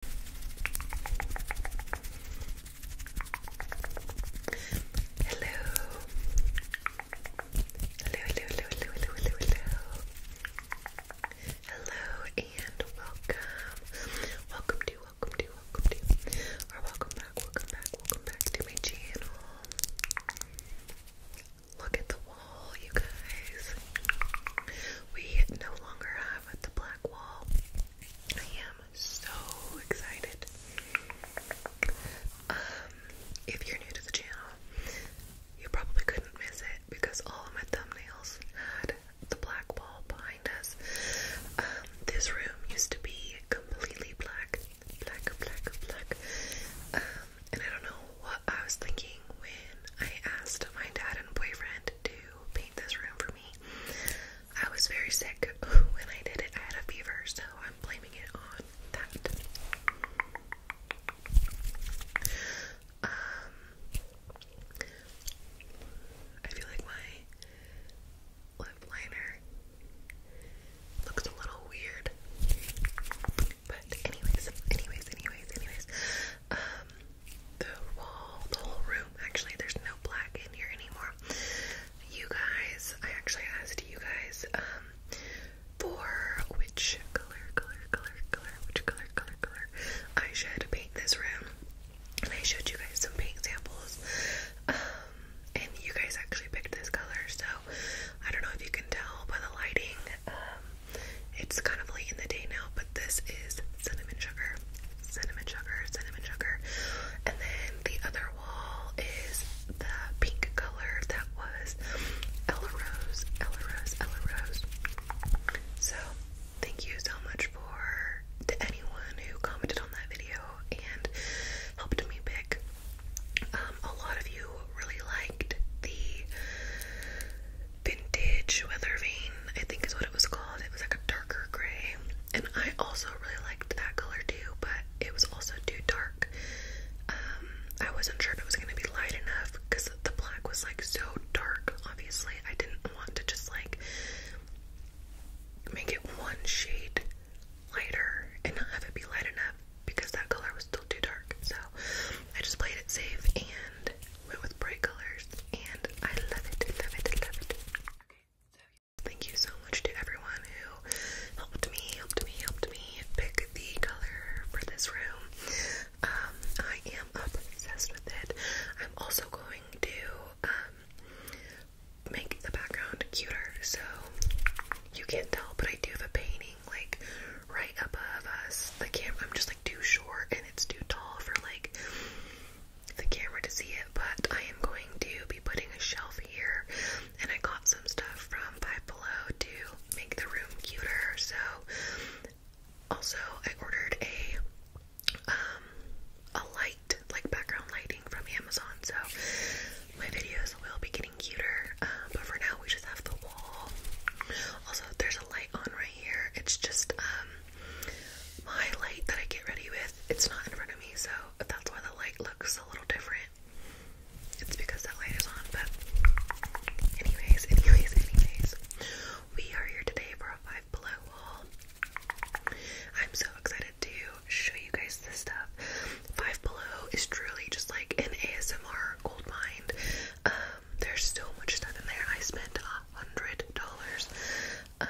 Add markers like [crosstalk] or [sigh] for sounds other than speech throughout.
Hello. Hello, hello, hello, hello, hello, hello, and welcome. Welcome to, welcome to, welcome to, or welcome back, welcome back, welcome back to my channel. Look at the wall, you guys. We no longer have a black wall. I am so excited. Um, if you're new to the channel, you probably couldn't miss it because all of my thumbnails had the black wall behind us. Um, this room used to be completely black, black, black, black. Um, and I don't know what I was thinking when I asked my dad and boyfriend to paint this room for I was very sick when I did it. I had a fever, so I'm blaming it on that. Um, I feel like my lip liner looks a little weird, but anyways, anyways, anyways, anyways. Um, the wall, the whole room. Actually, there's no black in here anymore. You guys, I actually asked you guys um, for which color, color, color, color, which color, color, color I should paint this room. And I showed you guys some paint samples. Um, and you guys actually picked this color, so I don't know if you can tell by the lighting. Um, it's kind of late in the day now, but this is cinnamon sugar, cinnamon sugar, cinnamon sugar. And then the other wall is the pink color that was Ella Rose, Ella Rose, Ella Rose. So thank you so much for anyone who commented on that video and helped me pick. Um, a lot of you really liked the vintage weather weathervane, I think is what it was called. It was like a darker gray, and I also really liked that color too, but it was also too dark. Um, I wasn't sure if it was gonna be light enough because the black was like so dark. Obviously, I didn't want to just like make it one shade lighter and not have it be light enough because that color was still too dark. So I just played it safe and went with bright colors, and I love it, love it, love it. Okay, thank you so much to everyone who helped me, helped me, helped me pick the color for this room. Um, I am obsessed with it. I'm also going to um make the background cuter, so you can't tell, but I do have a painting like right above us. The camera, I'm just like too short and it's too tall for like the camera to see it, but I am going to be putting a shelf here, and I got some stuff from Five Below to make the room cuter. So, also I ordered a um, a light, like background lighting from Amazon. So my videos will be getting cuter, uh, but for now we just have the wall. Also, there's a light on right here. It's just um, my light that I get ready with, it's not in front of me, so that's why the light looks a little different. It's because that light is on, but anyways, anyways, anyways, we are here today for a five below haul. I'm so excited to show you guys this stuff. Five below is truly just like an ASMR gold mine. Um, there's so much stuff in there. I spent a hundred dollars. Um,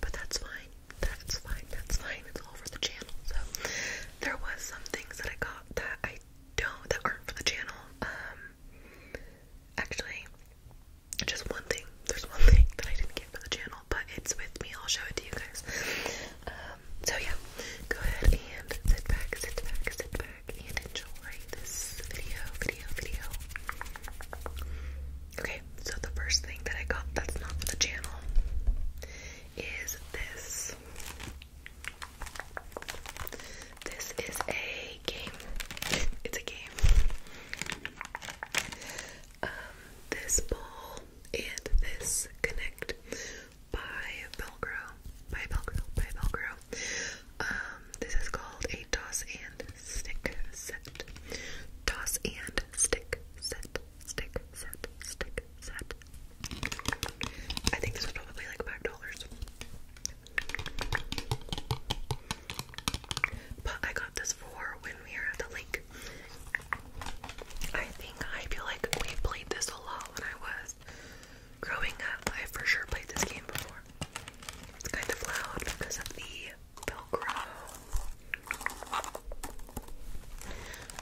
but that's fine. That's fine. That's fine. It's all for the channel. So there was some things that I got that I don't that aren't for the channel. Um, actually, just one thing. There's one thing that I didn't get for the channel, but it's with me. I'll show it to you guys. Um, so yeah, go ahead and sit back, sit back, sit back and enjoy this video, Okay, so the first thing that I got that's not for the channel is this. This is a game. It's a game. Um, this ball and this connect by Velcro. By Velcro. By Velcro. Um, this is called a toss and stick set. Toss and stick set. Stick set. Stick set. I think this was probably like five dollars. But I got this for when we were at the lake. I think I feel like we played this a lot when I was growing up. I for sure played this game before. It's kind of loud because of the Velcro.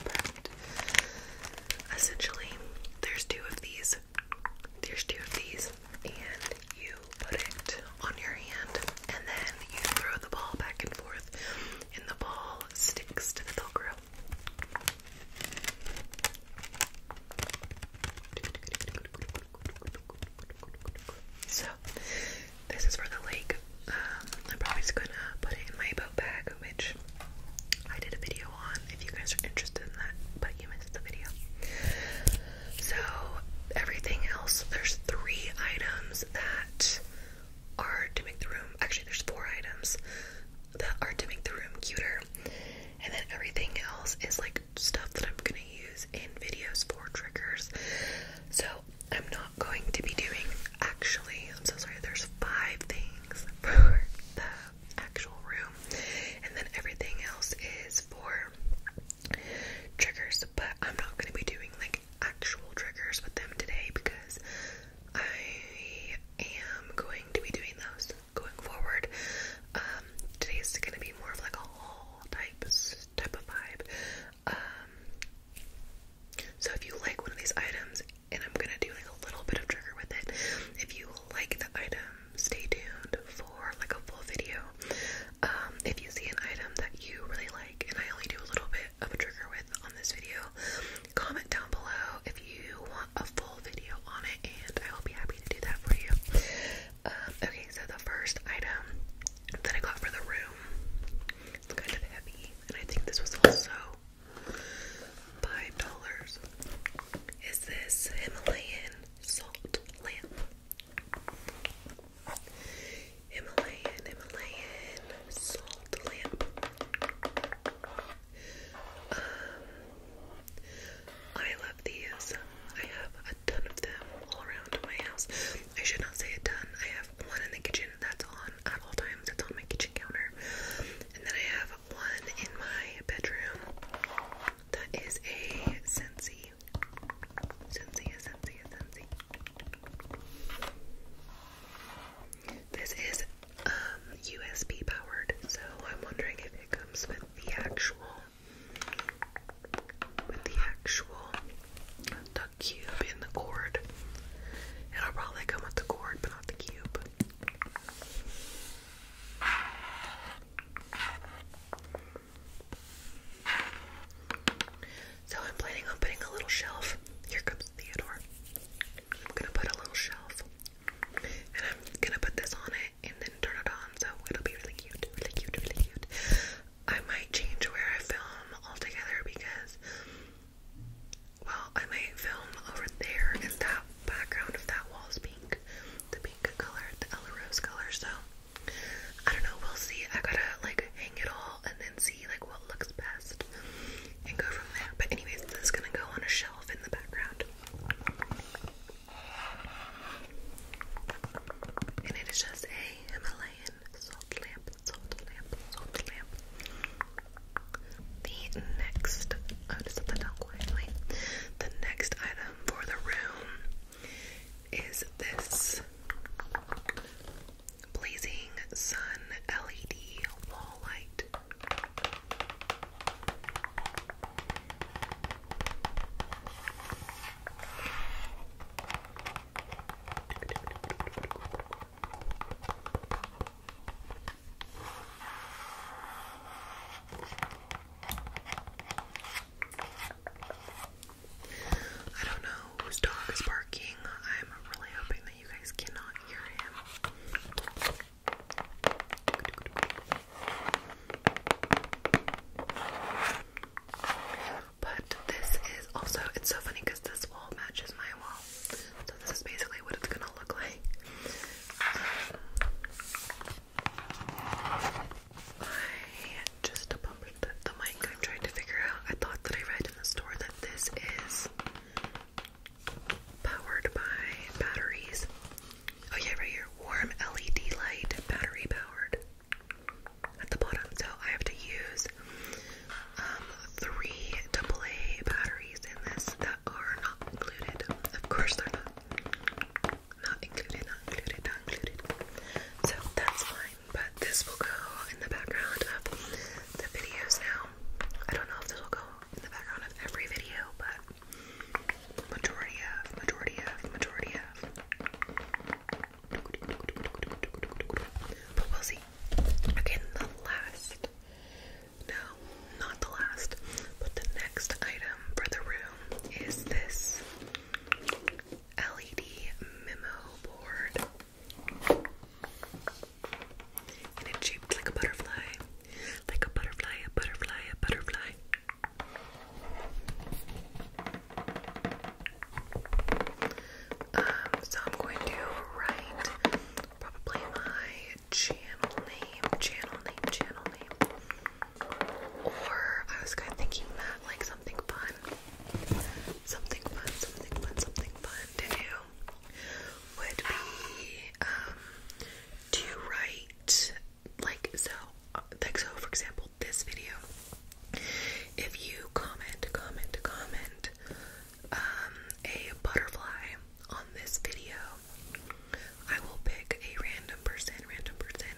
But essentially, there's two of these. There's two of these, and you put it on your hand, and then you throw the ball back and forth, and the ball sticks to the Velcro. So, this is for the lake. Um, I'm probably gonna put it in my boat bag, which I did a video on if you guys are interested in that, but you missed the video. So, everything else, there's three items that are to make the room actually, there's four items that are to make the room cuter and then everything else is like stuff that I'm gonna use in videos for triggers. So I'm not going to be doing actually, I'm so sorry, there's five things [laughs] for the actual room, and then everything else is for triggers, but I'm not gonna be doing like actual triggers with them today because I am going to be doing those going forward. Um, today's gonna be more of like a haul type type of vibe. Um, so if you like one of these items, and I'm gonna do like a little bit of trigger with it. If you like the item, stay tuned for like a full video. Um, if you see an item that you really like, and I only do a little bit of a trigger with on this video, comment down below if you want a full video on it, and I will be happy to do that for you. Uh, okay, so the first item that I got for the room, it's kind of heavy, and I think this was also five dollars. Is this Himalayan salt lamp? Himalayan, Himalayan salt lamp. Um, I love these. I have a ton of them all around my house. I should not say a ton. I have one in the kitchen that's on at all times. It's on my kitchen counter. And then I have one in my bedroom that is a Scentsy. Scentsy, a Scentsy, a Scentsy. This is um, USB powered, so I'm wondering if it comes with the actual with the actual cube in the cord. It'll probably come with the cord, but not the cube. So I'm planning on putting a little shelf. Here comes Theodore. I'm gonna put a little shelf. I'm gonna put this on it and then turn it on, so it'll be really cute, really cute, really cute. I might change where I film altogether because, well, I might film over there as that background of that wall is pink, the pink color, the Ella Rose color, so I don't know, we'll see. I gotta like hang it all and then see like what looks best and go from there. But anyways, this is gonna go on a shelf in the background. And it is just a Himalayan salt lamp, salt lamp, salt lamp. The next, i just set that down quietly. The next item for the room is this blazing sun LED wall light. I don't know whose dog is barking. I'm really hoping that you guys cannot hear him. But this is also, it's so funny because this wall matches my wall. So this is basically what it's gonna look like. I just bumped the mic. I'm trying to figure out. I thought that I read in the store that this is powered by batteries. Oh yeah, right here. Warm LED light, battery powered. At the bottom, so I have to use um, three AA batteries in this that are not included. Of course, they're not. Not included, not included, not included. So that's fine, but this will go in the background of the videos now. I don't know if this will go in the background of every video, but Majority of, majority of, majority of. But we'll see. Okay, the last. No, not the last. But the next item for the room is this LED memo board. And it's shaped like a butterfly. Like a butterfly, a butterfly, a butterfly. Um, so I'm going to write probably my channel name, channel name, channel name. Or I was kind of thinking that like something fun. Something fun, something fun, something fun to do would be um, to write like so like so for example this video if you comment comment comment um a butterfly on this video I will pick a random person random person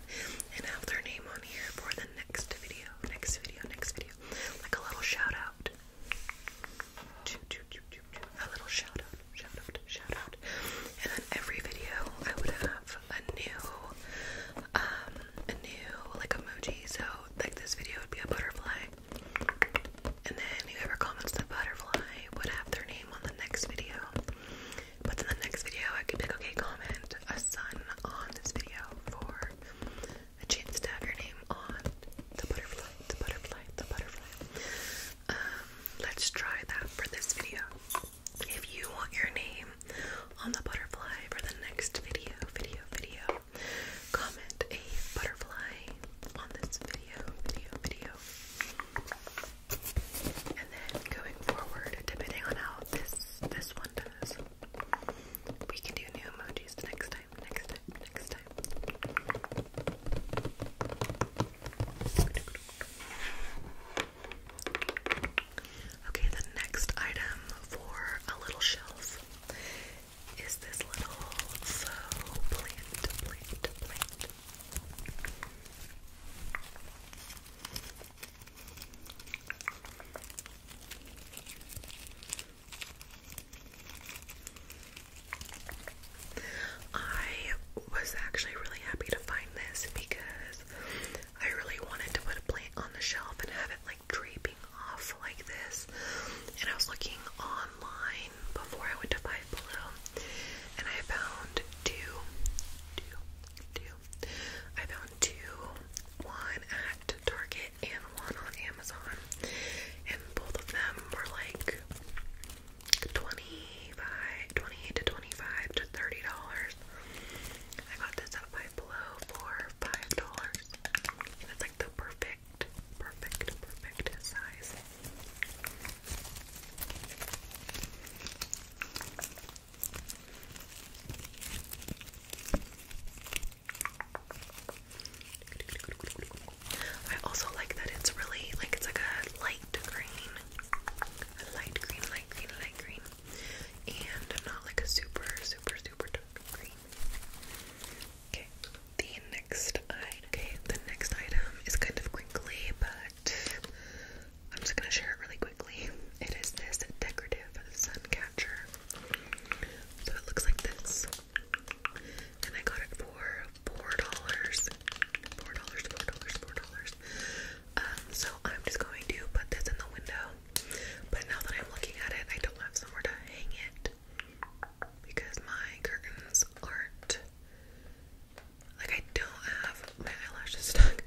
and have their name on here for the next video next video next video like a little shout out a little shout out shout out, shout out. And then every video I would have a new um a new like emoji. So like this video would be a butterfly. And then whoever comments the butterfly would have their name on the next video. But in the next video I could pick. okay, comment a sun on this video for a chance to have your name on the butterfly, the butterfly, the butterfly. Um, let's try that for this video if you want your name on the butterfly for the next video, video, video, comment a butterfly on this video, video, video. And then going forward, depending on how this this one does, we can do new emojis next time, next time, next time. Okay, the next item for a little shelf is this little faux plant, plant, plant. I was actually really happy to find this because I really wanted to put a plant on the shelf and have it like draping off like this. And I was looking online before I went to buy Below and I found two, two, two. I found two, one at Target and one on Amazon. And both of them were like 25 28 to 25 to 30 dollars I got this at Five Below for five dollars and it's like the perfect perfect perfect size I also like that it's really like it's like a light green a light green, light green, light green, and not like a super, super, super dark green. Okay, the next item. Okay, the next item is kind of crinkly, but I'm just gonna share it really quickly. It is this decorative sun catcher. So it looks like this, and I got it for four dollars. Four dollars, four dollars, four dollars. Um, so I'm just going to put this in the window. But now that I'm looking at it, I don't have somewhere to hang it because my curtains aren't like I don't have my eyelashes stuck.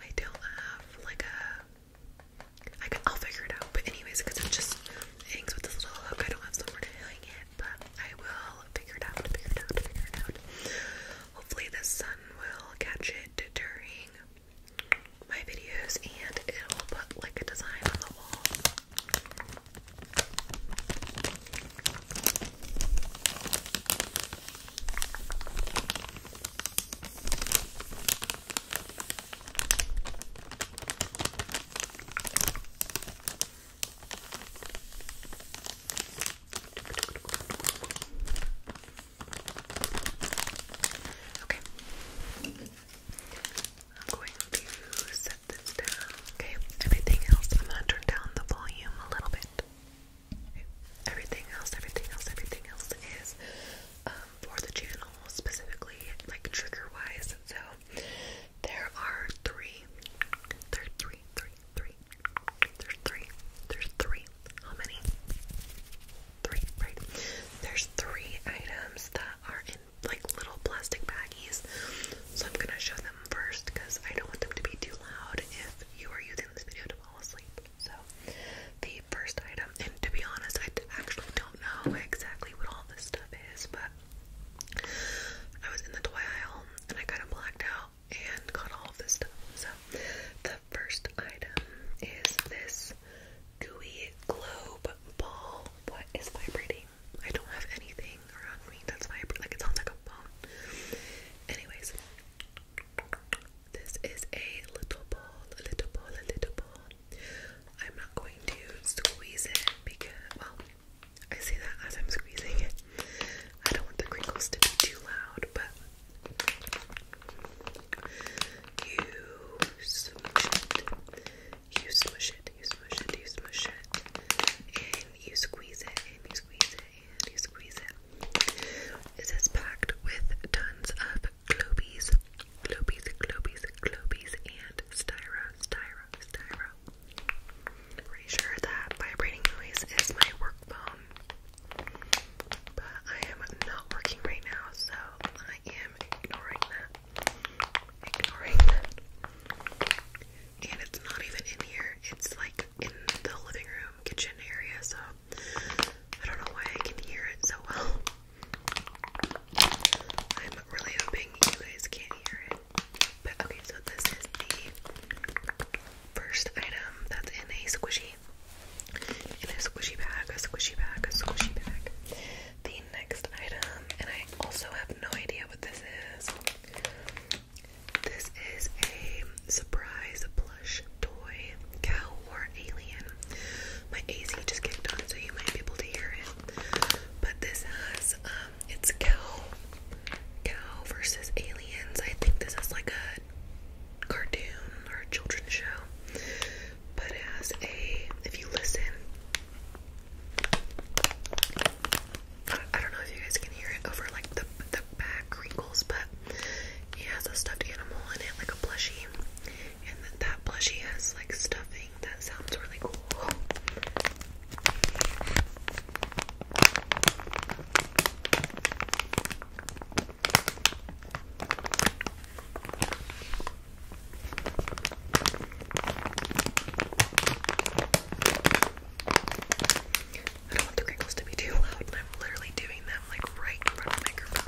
I don't have like a. I will figure it out. But anyways, because it just hangs with this little hook, I don't have somewhere to hang it. But I will figure it out. Figure it out. Figure it out. Hopefully, the sun will catch it during my videos and it'll put like a design on the wall. Okay. I'm going to set this down. Okay. Everything else, I'm going to turn down the volume a little bit. Everything else, everything else, everything else is um, for the channel specifically, like trigger wise. So there are three, there are three, three, Three. There's three. There's three. How many? Three, right? There's three items that are in like little plastic baggies. So I'm gonna show them first because I don't want them to be too loud if you are using this video to fall asleep. So the first item, and to be honest, I actually don't know exactly what all this stuff is, but I was in the toy aisle and I kind of blacked out and got all of this stuff. So the first item is this gooey globe ball. What is vibrating? I don't have anything around me that's vibrating. Like it sounds like a phone. Anyways, this is a little ball, a little ball, a little ball. I'm not going to squeeze it because, well, I say that as I'm squeezing it. I don't want the crinkles to be too loud, but you smush it. You smush it, you smush it, you smush it. And you squeeze it, and you squeeze it, and you squeeze it. This is packed with tons of globies, globies, globies, globies, and styro, styro, styro. I'm pretty sure that vibrating noise is my work phone, but I am not working right now, so I am ignoring that. Ignoring And it's not even in here, it's like in the living room, kitchen area, so I don't know why I can hear it so well. [laughs] I'm really hoping you guys can't hear it okay, so this is the first item that's in a squishy, in a squishy bag, a squishy bag, a squishy bag. The next item, and I also have no idea what this is. This is a surprise plush toy, cow or alien. My AC just kicked on, so you might be able to hear it. But this has um it's cow, cow versus aliens. I think this is like a cartoon or a children's show, but it has a. If you listen, I, don't know if you guys can hear it over like the the back wrinkles, but it has a stuffed animal in it, like a plushie, and then that plushie has like stuffing that sounds really cool. I don't want the crinkles to be too loud, and I'm literally doing them like right in front of the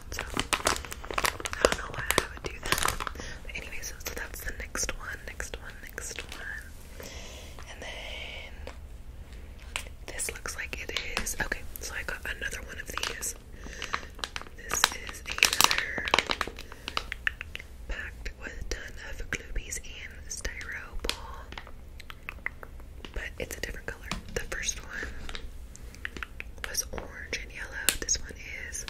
I don't know why I would do that. anyways, so that's the next one, next one, next one. And then this looks like it is. Okay, so I got another one of these. This is another packed with a ton of Gloobies and Styro But it's a different color. The first one was orange and yellow. This one is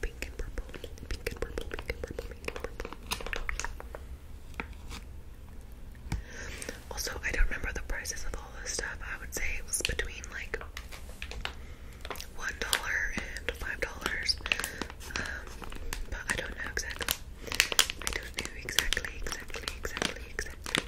pink and purple. Pink and purple, pink and purple, pink and purple. Also, I don't remember the prices of all this stuff. I would say it was between like one dollar and five dollars. Um, but I don't know exactly. I don't know exactly, exactly, exactly, exactly.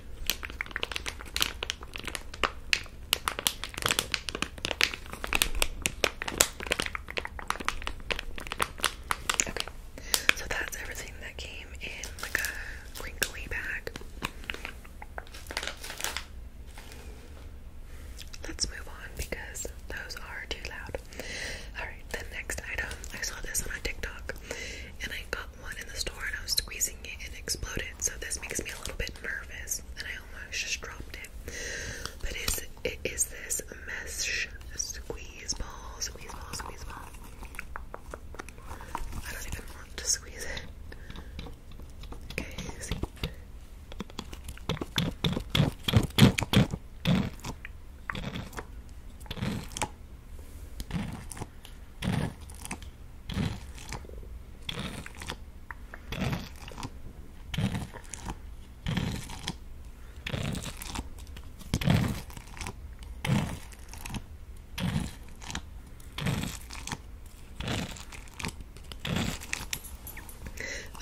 Okay, so that's everything that came in like a crinkly bag. Let's move on because those are too loud. Alright, the next item. I saw this on a TikTok and I got one in the store and I was squeezing it and it exploded. So this makes me a little bit nervous and I almost just dropped it. But it's it is this mesh squeeze ball, squeeze ball, squeeze ball. I don't even want to squeeze it. Okay, see.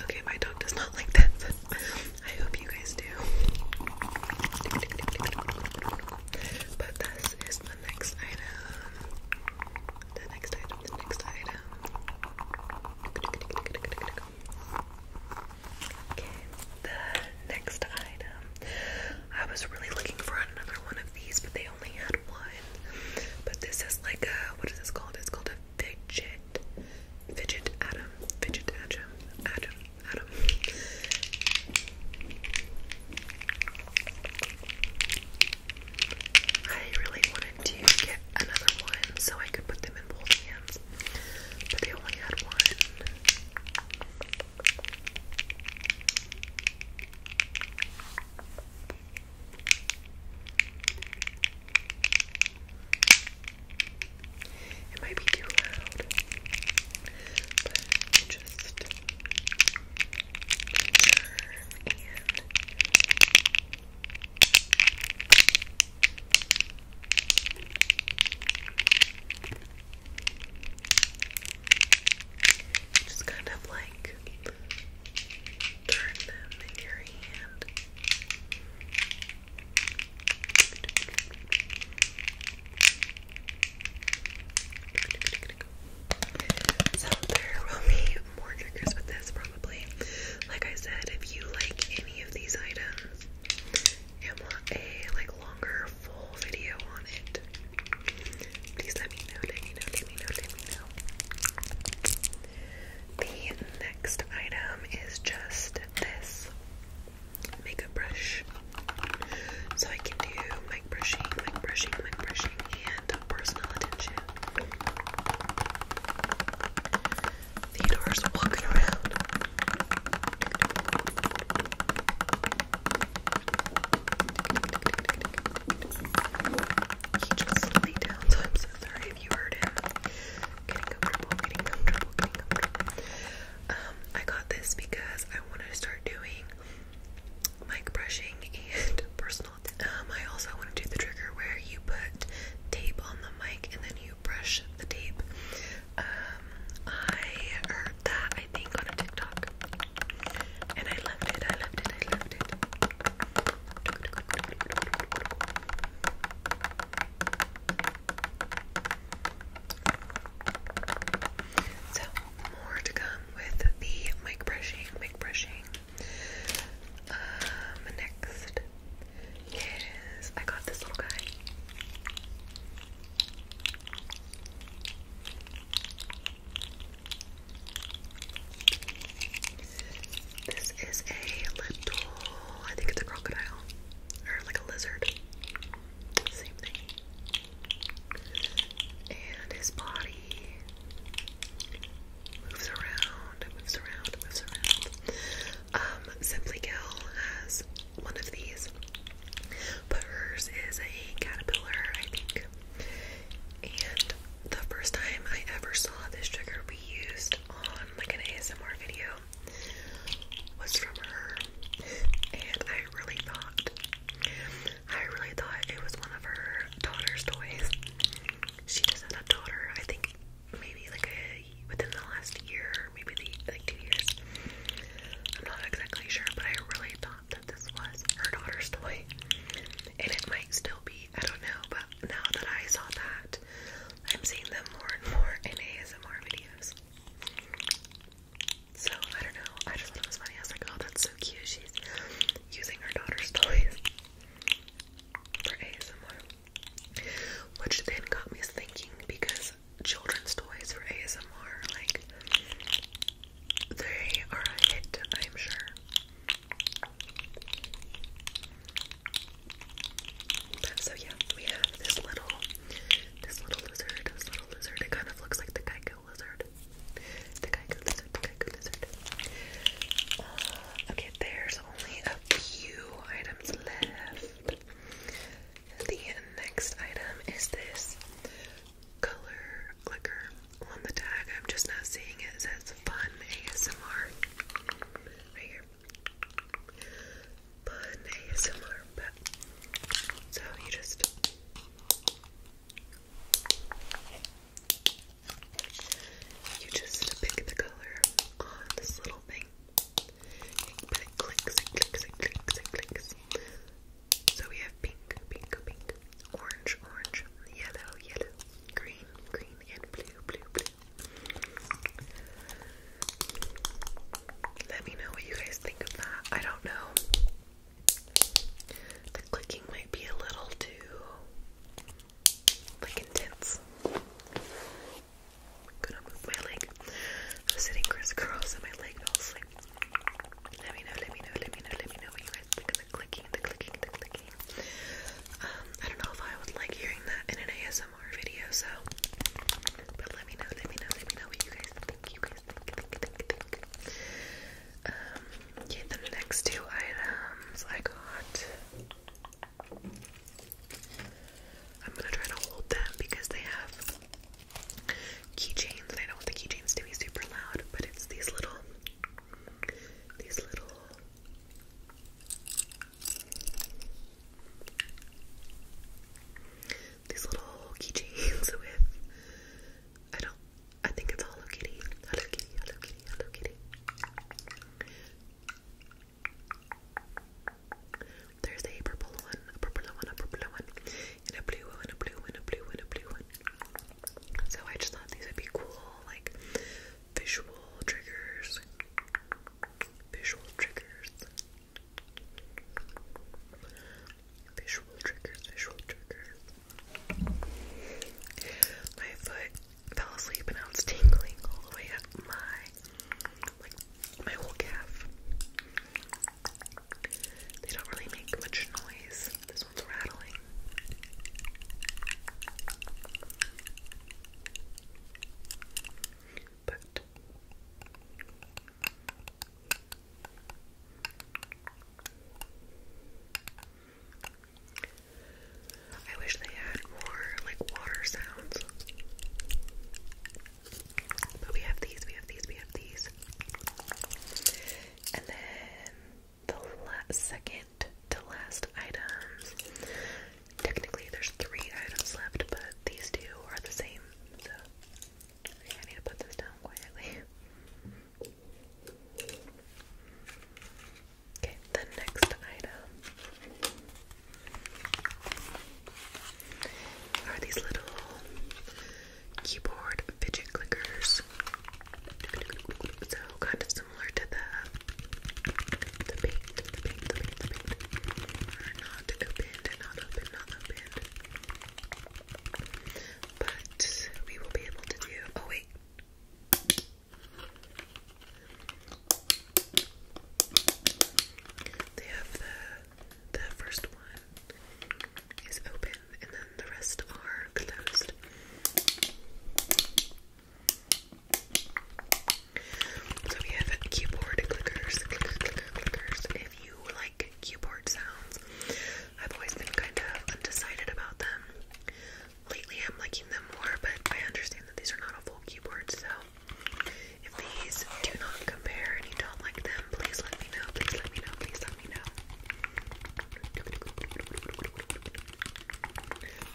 Okay, my dog does not like that. I hope you guys do. But this is the next item. The next item, the next item the next item. I was really looking for another one of these, but they only had one. But this is like a what is this called? It's called a fidget, fidget atom, fidget atom, atom, atom. I really wanted to get another one so I could put them in both hands but they only had one. It might be too loud, but just turn and just kind of like turn them in your hand. So there will be more triggers with this, probably. Like I said, if you like any of these items and want a like longer full video on it, please let me know, let me know, let me know, let me know. The next item is just this makeup brush. So I can do mic brushing, mic brushing, mic brushing, and personal attention. Theodore's walking around. He just laid down, so I'm so sorry if you heard him. Getting comfortable, getting comfortable, getting comfortable. Um, I got this because I wanted to start doing mic brushing and [laughs] personal. Um, I also want to do the trigger where you put tape on the mic and then you brush the tape. Um, I heard that I think on TikTok, and I loved it. I loved it. I loved it. So more to come with the mic brushing, mic brushing. Um, next Yes, I got this little guy. This is a little, I think it's a crocodile, or like a lizard. Same thing. And his body moves around, it moves around, it moves around. Um, Simply Kill has one of these, but hers is a caterpillar, I think. And the first time I ever saw this trigger we used on like an ASMR video was from her, and I really thought, I really thought it was one of her daughter's toys. She just had a daughter, I think maybe like a within the last year, maybe like two years. I'm not exactly sure, but I really thought that this was her daughter's toy, and it might still be. I don't know, but now that I saw that, I'm seeing them more and more in ASMR videos. So I don't know. I just thought it I was like, oh, that's so cute. She's using her daughter's toys for ASMR. Which then got me thinking because children's toys for ASMR, like, they are a hit, I'm sure. so yeah, we have this little, this little lizard, this little lizard. It kind of looks like the Geico lizard. The Geico lizard, the Geico lizard. Uh, okay, there's only a few items left. The next item is this color clicker. On the tag, I'm just not seeing it. It says Fun ASMR. Right here. Fun ASMR. so you just you just pick the color on this little thing, So we have pink, pink, pink, orange, orange, yellow, yellow, green, green, and blue, blue, blue. Let me know what you guys think of that. I don't know. The clicking might be a little too like intense. Gonna move my leg. I'm sitting crisscross and my leg feels like. Let me know, let me know, let me know, let me know what you guys think of the clicking, the clicking, the clicking. Um, I don't know if I would like hearing that in an ASMR video, so but let me know, let me know, let me know what you guys think. Um, yeah, the next two items I got I'm gonna try to hold them because they have keychains and I don't want the keychains to be super loud, but it's these little these little these little keychains [laughs] with I don't I think it's Hello Kitty. Hello Kitty, Hello Kitty, Hello Kitty. There's a purple one, a purple one, a purple one, and a blue one, a blue one, a blue one, a blue one. So I just thought these would be cool, like visual triggers. Visual triggers. Visual triggers, visual triggers. My foot fell asleep and I was tingling all the way up my, like, my whole calf. They don't really make much noise. This one's rattling. But I wish they had more like water sounds. But we have these, we have these, we have these. And then the second to last items. Technically, there's three items left, but these two are the same. So I need to put this down quietly. Okay, the next item are these little keyboard fidget clickers. So kind of similar to the the paint, the paint, the paint, the paint. Are not opened, not open, not opened. But we will be able to do. Oh wait. They have the the first one is open and then the rest are closed. So we have keyboard clickers, If you like keyboard sounds, I've always been kind of undecided about them lately I'm liking them more, but I understand that these are not a full keyboard, so if these do not compare and you don't like them, please let me know, please let me know, please let me know.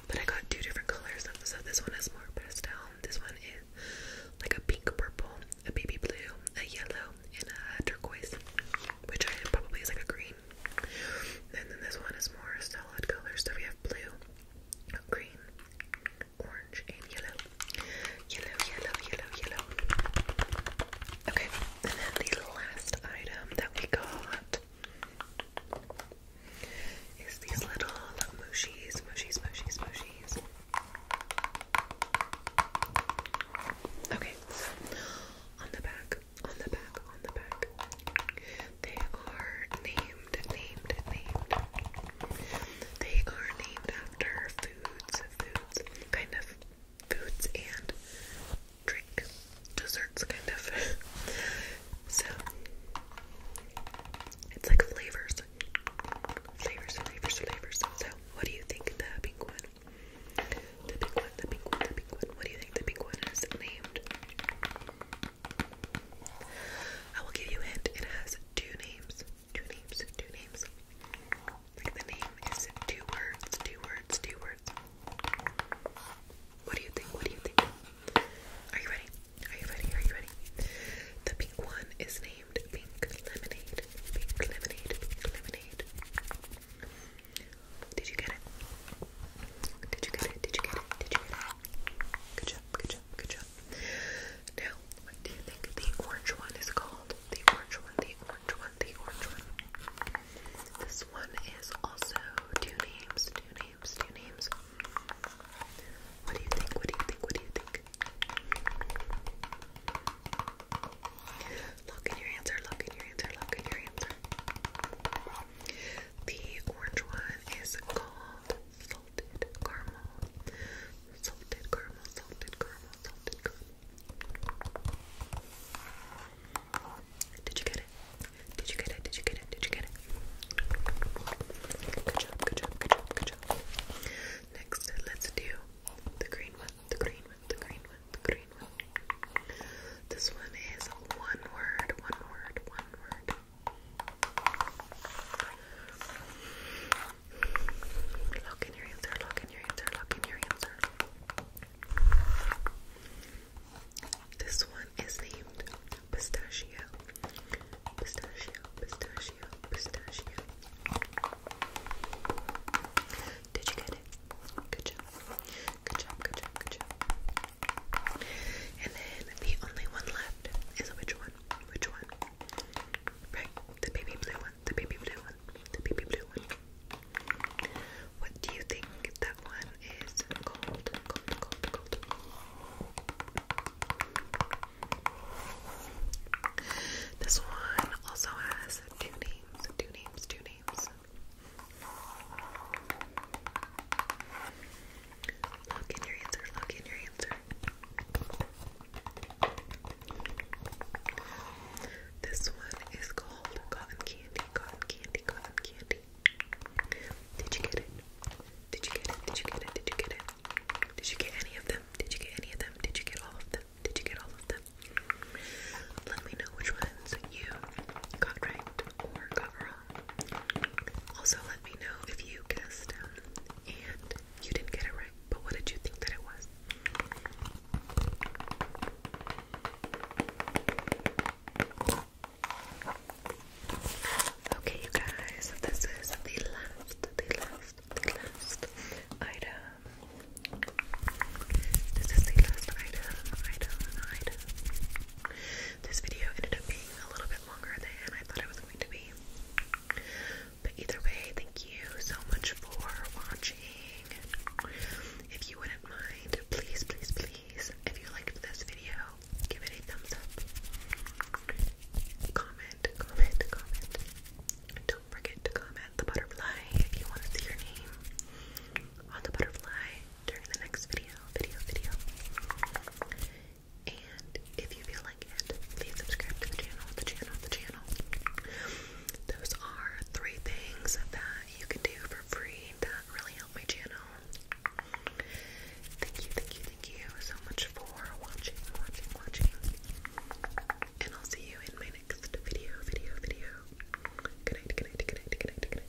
But I got two different colors, so this one is more pastel, this one is like a pink purple, a baby blue, a yellow, and a turquoise, which I probably is like a green. And then this one is more solid colors, so we have blue, green, orange, and yellow. Yellow, yellow, yellow, yellow. Okay, and then the last item that we got is these little mushies, mushies, mushies, mushies. Okay, so on the back on the back, on the back. They are named, named, named. They are named after foods, foods, kind of foods and drink, desserts, kind of. so it's like flavors, flavors, flavors, flavors. So what do you think the pink one? The pink one, the pink one, the pink one. What do you think the pink one is named? I will give you a hint. It has two names. Two names. Two names. Like the name is two words. Two words. Two words. What do you think? What do you think? Are you ready? Are you ready? Are you ready? The pink one is named Pink Lemonade. Pink Lemonade. Pink Lemonade. Did you get it? Did you get it? Did you get it? Did you get it? Good job, good job, good job. Now, what do you think the orange one is called? The orange one, the orange one, the orange one. This one is also two names, two names, two names. What do you think? What do you think? What do you think? Lock in your answer, lock in your answer, lock in your answer. The orange one is called Salted Caramel. Salted Caramel, Salted Caramel, Salted Caramel. Did you get it? Did you get it? Did you get it? Did you get it? Good job, good job, good job, good job. Next, let's do the green one, the green one, the green one, the green one. This one is one word, one word, one word. Look in your answer, look in your answer, look in your answer. This one is named Pistachio. Pistachio, pistachio, pistachio. Did you get it? Good job. Good job, good job, good job. And then the only one left is which one? Which one? Right, the baby blue one. The baby blue one. The baby blue one. What do you think that one is called? Called, called, called. This one also has two names, two names, two names. Look in your answer, look in your answer. This one is called Cotton Candy, Cotton Candy, Cotton Candy. Did you get it? Did you get it? Did you get it? Did you get it? Did you get any of them? Did you get any of them? Did you get all of them? Did you get all of them? Let me know which ones you got right or got wrong. Also, let me know if you guessed um, and you didn't get it right, but what did you think that it was? Okay, you guys, this is the last, the last, the last item. This is the last item, item, item. This video ended up being a little bit longer than I thought it was going to be. But either way, thank you so much for watching. If you wouldn't mind, please, please, please, if you liked this video, give it a thumbs up. Comment, comment, comment. Don't forget to comment the butterfly if you want to see your name on the butterfly during the next video, video, video. And if you feel like it, please subscribe to the channel, the channel, the channel. Those are three things that you can do for free that really help my channel. Thank you, thank you, thank you so much for watching, watching, watching. And I'll see you in my next video, video, video. Good night, good night, good night,